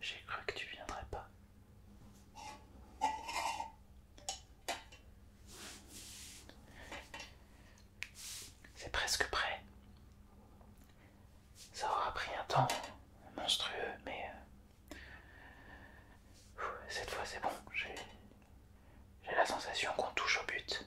J'ai cru que tu viendrais pas. C'est presque prêt. Ça aura pris un temps monstrueux, mais euh, cette fois c'est bon. J'ai la sensation qu'on touche au but.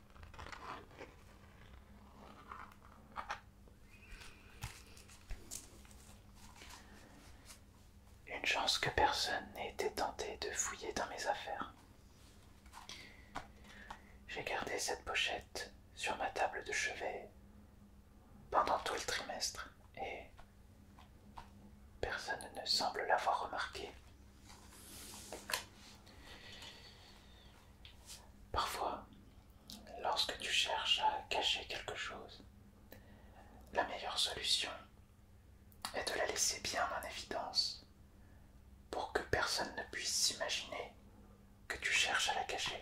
Une chance que personne n'ait été tenté de fouiller dans mes affaires. J'ai gardé cette pochette sur ma table de chevet pendant tout le trimestre et personne ne semble l'avoir remarqué. Parfois, lorsque tu cherches à cacher quelque chose, la meilleure solution est de la laisser bien en évidence pour que personne ne puisse s'imaginer que tu cherches à la cacher.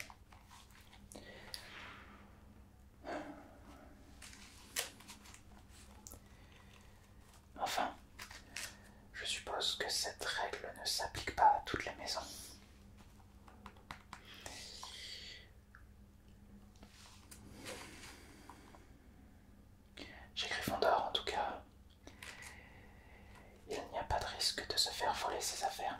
Enfin, je suppose que cette règle ne s'applique pas à toutes les maisons. J'écris Fondor en tout cas, il n'y a pas de risque de se faire voler ses affaires.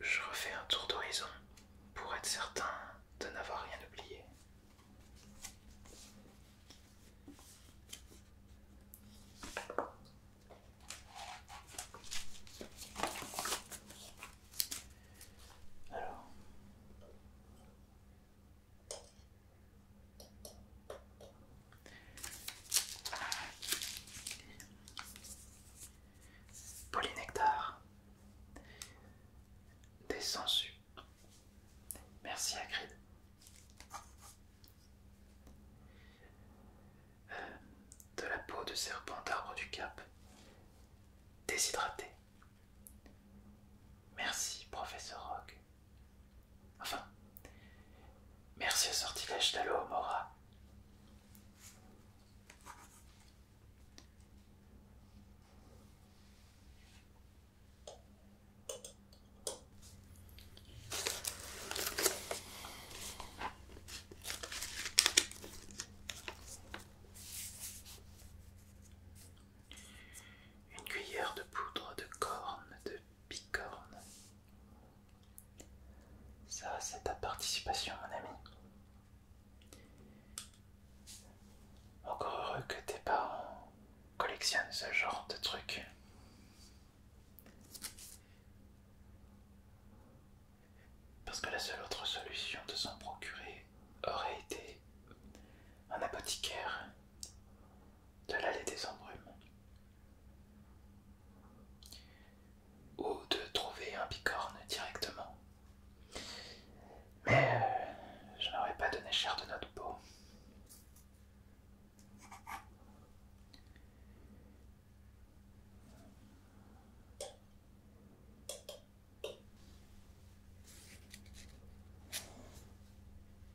Je refais un tour d'horizon pour être certain de n'avoir rien oublié. Alors, Polynectar. Des Merci Agrid. Euh, de la peau de serpent d'arbre du cap. déshydratée. Merci, professeur Rock. Enfin, merci au sortilège Mora. Une cuillère de poudre de corne de bicorne. Ça, c'est ta participation, mon ami. Encore heureux que tes parents collectionnent ce genre de trucs. Parce que la seule autre solution de s'en procurer aurait été un apothicaire de l'aller des embrumes, ou de trouver un bicorne directement. Mais euh, je n'aurais pas donné cher de notre peau.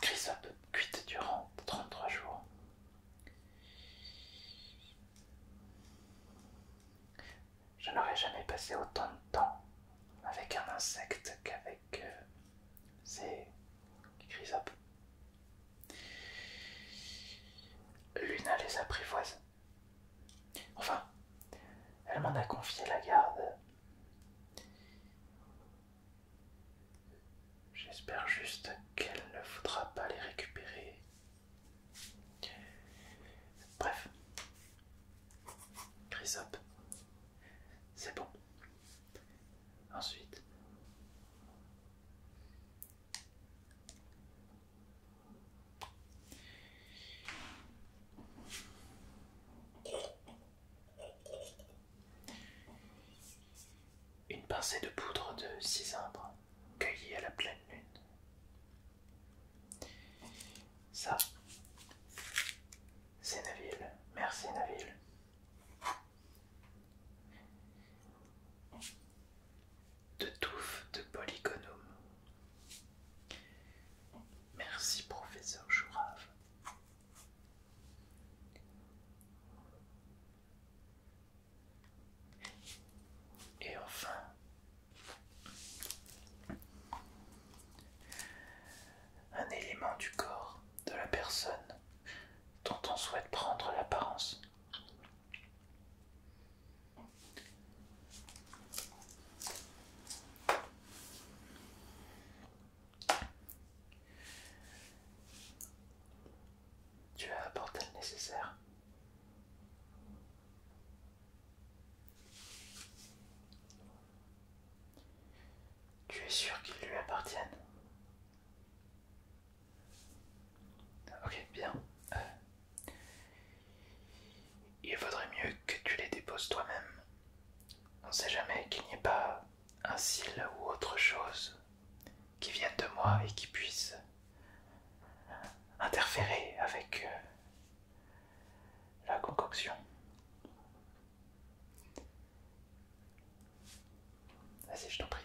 Chrysop, cuite durant 33 jours. Je n'aurais jamais passé autant de temps avec un insecte qu'avec euh, ces chrysopes. Luna les apprivoise. Enfin, elle m'en a confié la garde. J'espère juste qu'elle ne voudra pas les récupérer. Bref. up C'est bon. Ensuite. Une pincée de poudre de cisembre cueillie à la pleine lune. Ça, c'est Naville. Merci Naville. De touffe de polygonome. Merci professeur Jourave. Et enfin, un élément du corps de la personne dont on souhaite prendre l'apparence. Tu as apporté le nécessaire. Tu es sûr qu'ils lui appartiennent Ok, bien. Euh, il vaudrait mieux que tu les déposes toi-même. On ne sait jamais qu'il n'y ait pas un cil ou autre chose qui vienne de moi et qui puisse interférer avec euh, la concoction. Vas-y, je t'en prie.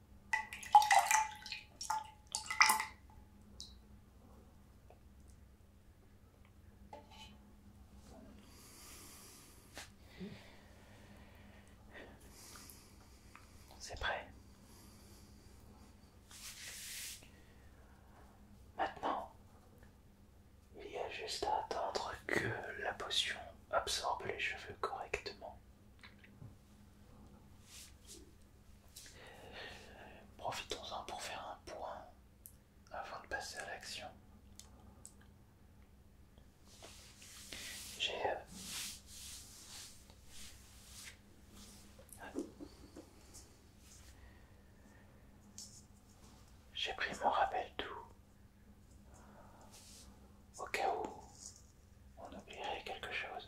C'est prêt. Maintenant, il y a juste à attendre que la potion absorbe les cheveux correctement. Profitons-en pour faire un point avant de passer à l'action. J'ai euh, j'ai pris mon rappel tout au cas où on oublierait quelque chose.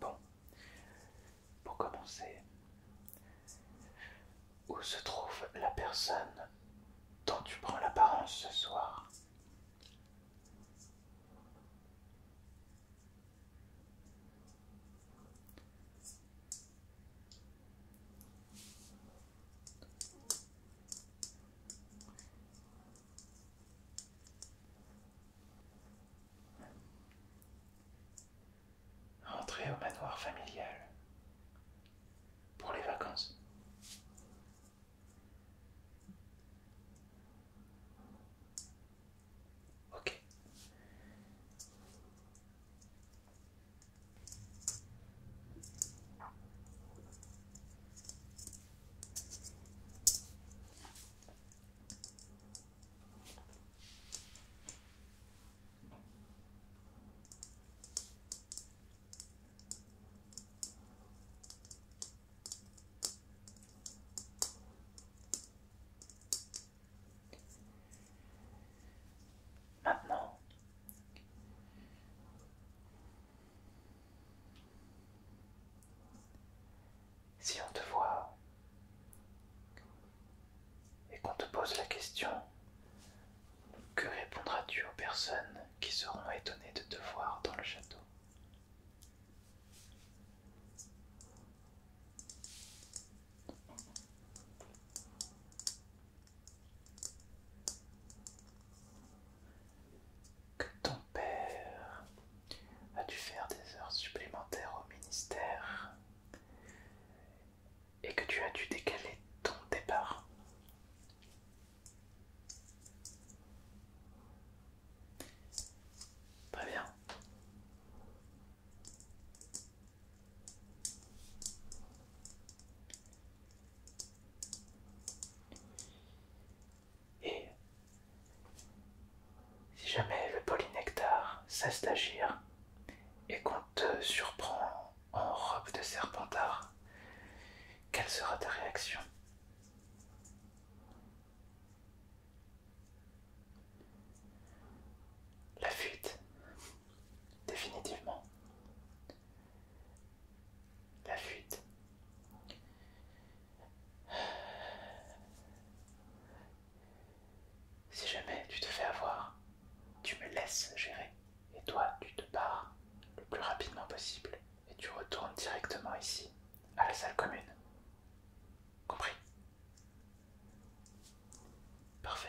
Bon, pour commencer, où se trouve la personne dont tu prends l'apparence ce soir Entrez au manoir familial pour les vacances. Ok. Maintenant, si on te voit et qu'on te pose la question, que répondras-tu aux personnes qui seront étonnées de te voir dans le château que ton père a dû faire des heures supplémentaires au ministère et que tu as dû décaler ton départ. Très bien. Et si jamais le polynectar cesse d'agir et qu'on te surprend en robe de serpentard, quelle sera ta réaction La fuite, définitivement. La fuite. Si jamais tu te fais avoir, tu me laisses gérer et toi tu te pars le plus rapidement possible et tu retournes directement ici à la salle commune. Compris Parfait.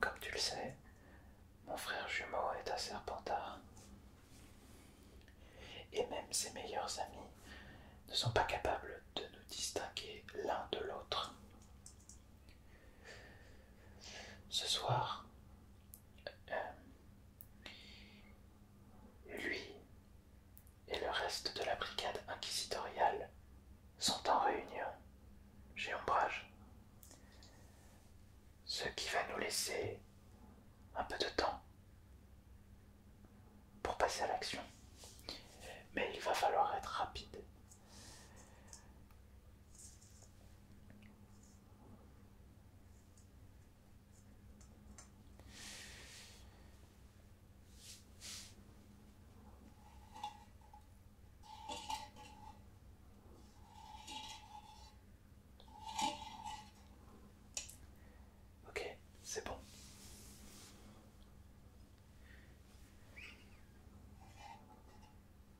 Comme tu le sais, mon frère jumeau est un serpentard. Et même ses meilleurs amis ne sont pas capables de nous distinguer l'un de l'autre. Ce soir, euh, lui et le reste de la brigade inquisitoriale sont en réunion chez Ombrage. Ce qui va nous laisser un peu de temps pour passer à l'action. Mais il va falloir être rapide. Ok, c'est bon.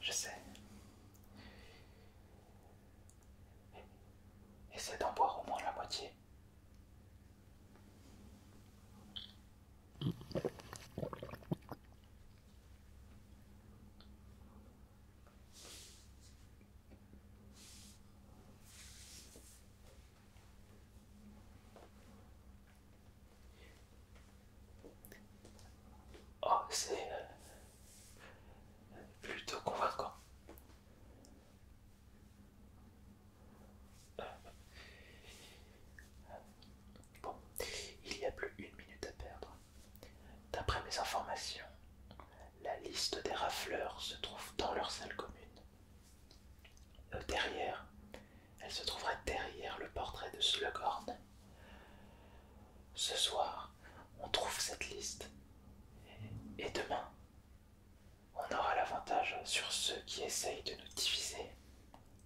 je sais. Essaie d'en boire au moins la moitié. Oh, c'est plutôt convaincant. Bon, il n'y a plus une minute à perdre. D'après mes informations, la liste des rafleurs se trouve dans leur salle commune. Euh, derrière, elle se trouverait derrière le portrait de Slughorn. Ce soir, on trouve cette liste. Et demain, on aura l'avantage sur ceux qui essayent de nous diviser.